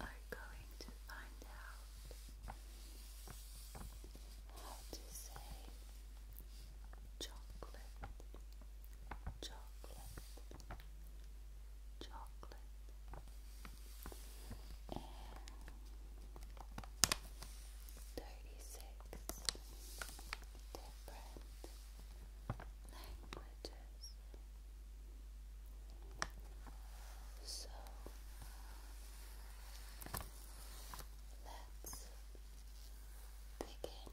are going to find out how to say chocolate, chocolate, chocolate. And 36 different languages. So let's begin.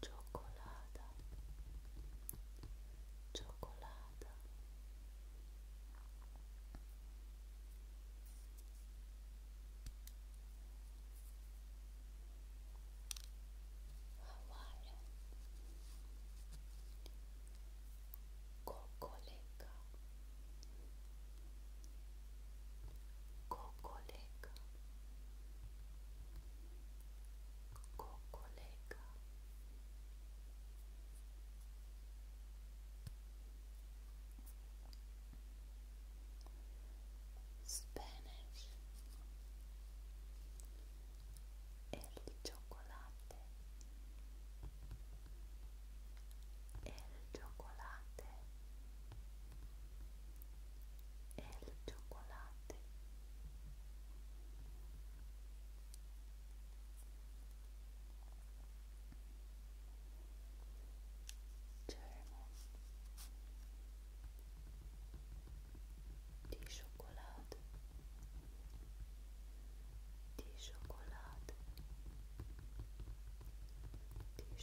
chocolate, cioccolata. Hawaiian Cocoleca Kokoleka Kokoleka Spanish El chocolate El chocolate el chocolate German die Schokolade die Schokolade die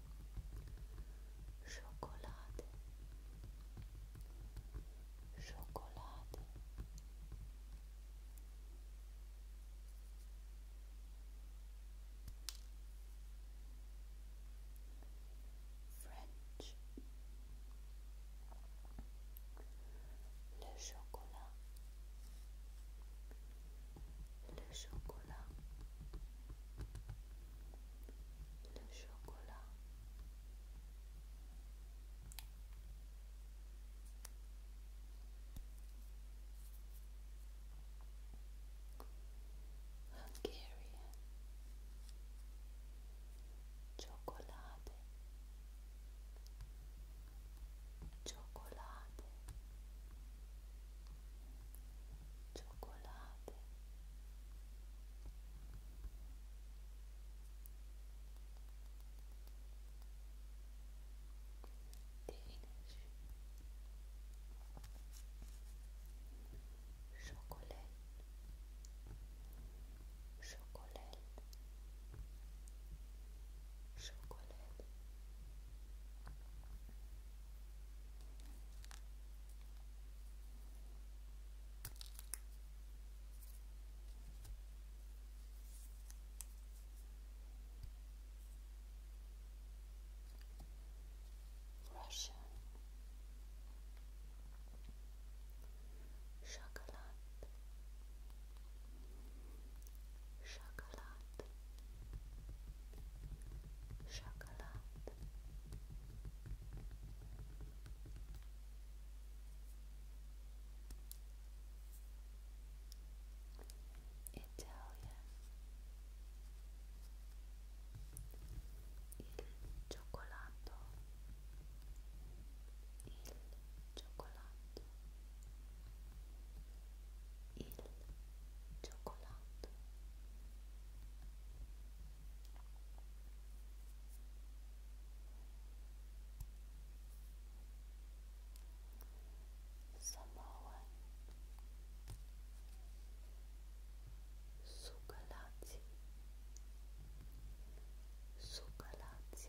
chocolade chocolade French le chocolat le chocolat, le chocolat. Hungarian chocolate chocolate chocolate, Dänisch chocolate, Schokolade Schokolade Russian chocolate Chocolate, chocolate. Italian il cioccolato il cioccolato il cioccolato Samoan Sugalazzi Sugalazzi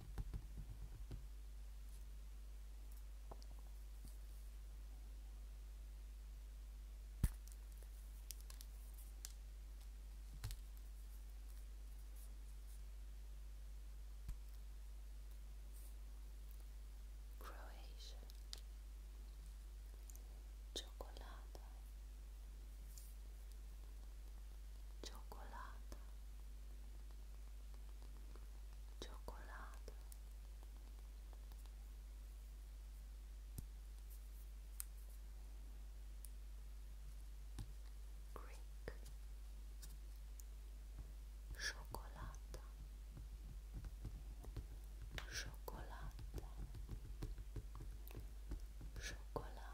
Croatian chocolate cioccolata cioccolata Greek Chocolata Chocolata Chocolata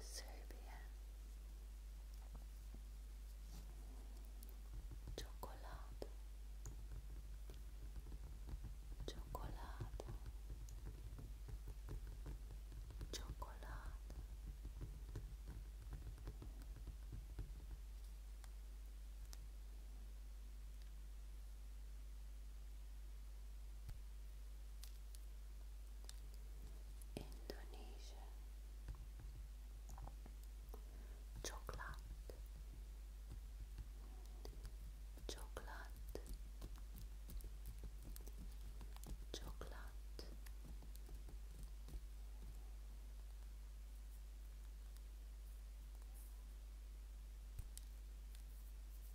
Serbia Chocolate Chocolate Chocolate Indonesia chocolate chocolate chocolate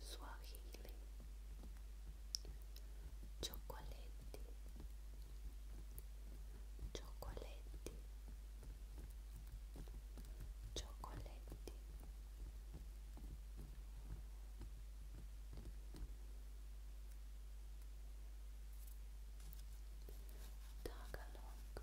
Swahili Chocoletti Chocoletti Chocoletti Tagalog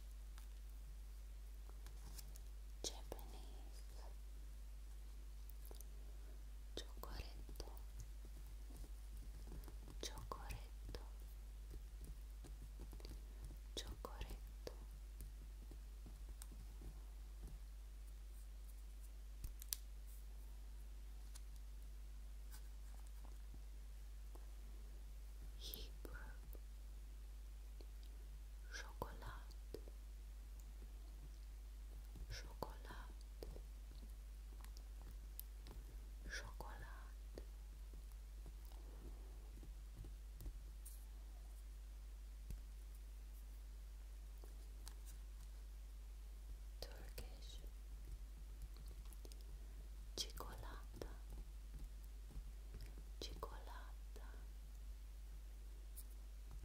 Japanese Chocoretto Chocoretto Chocoretto Hebrew chocolat chocolat chocolat Turkish Chicolata cicolata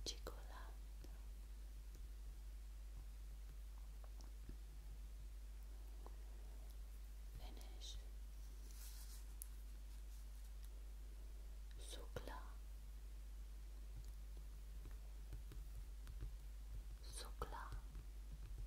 cicolata finish sukla sukla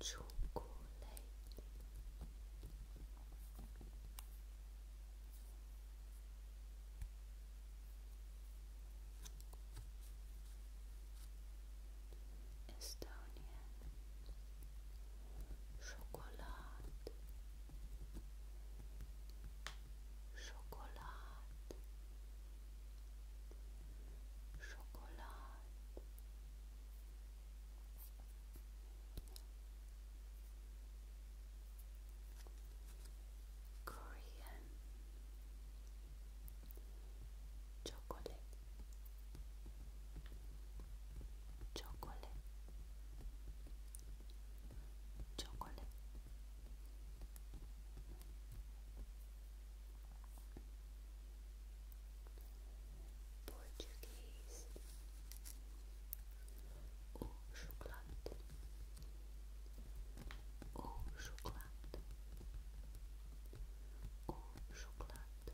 chocolate Estonian chocolate chocolate chocolate Korean chocolate chocolate chocolate Português, o um chocolate, o um chocolate, o um chocolate. Chocolate,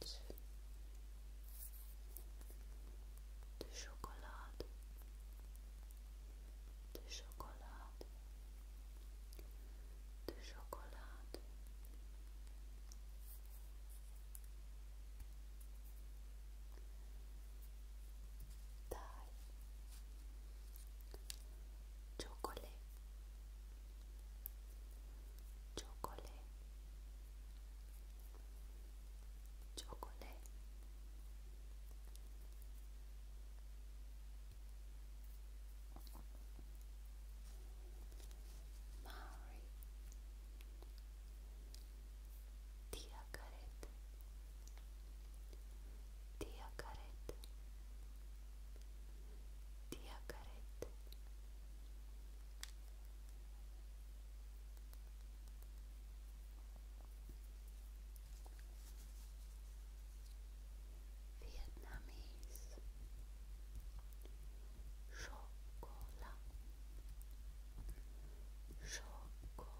de chocolade, de chocolade, de chocolade. dye, chocolate, chocolate, chocolate. Mary, Tia, Diacaret Diacaret Diacaret Vietnamese Chocolat Chocolat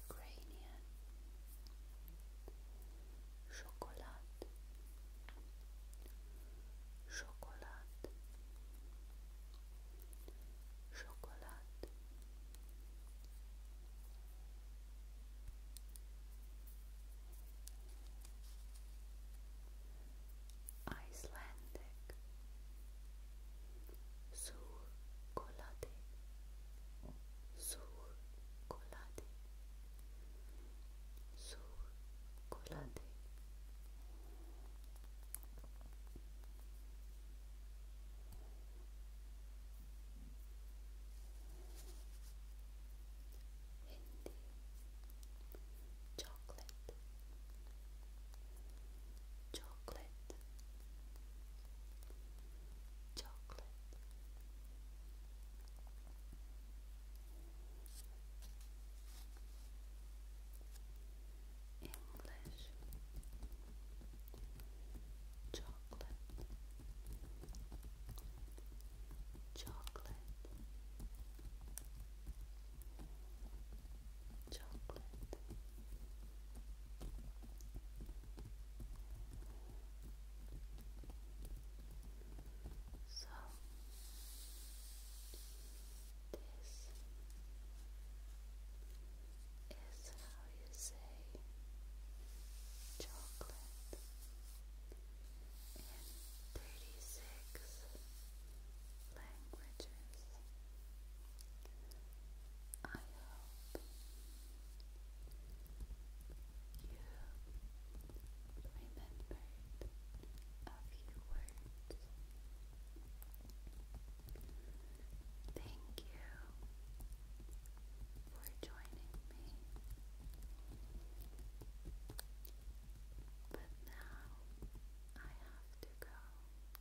Ukrainian chocolate chocolate chocolate Icelandic su colate su Hindi chocolate chocolate chocolate. English chocolate chocolate chocolate. So this is how you say chocolate in thirty six languages. I hope you remembered a few words. Thank you for joining me. But now I have to go.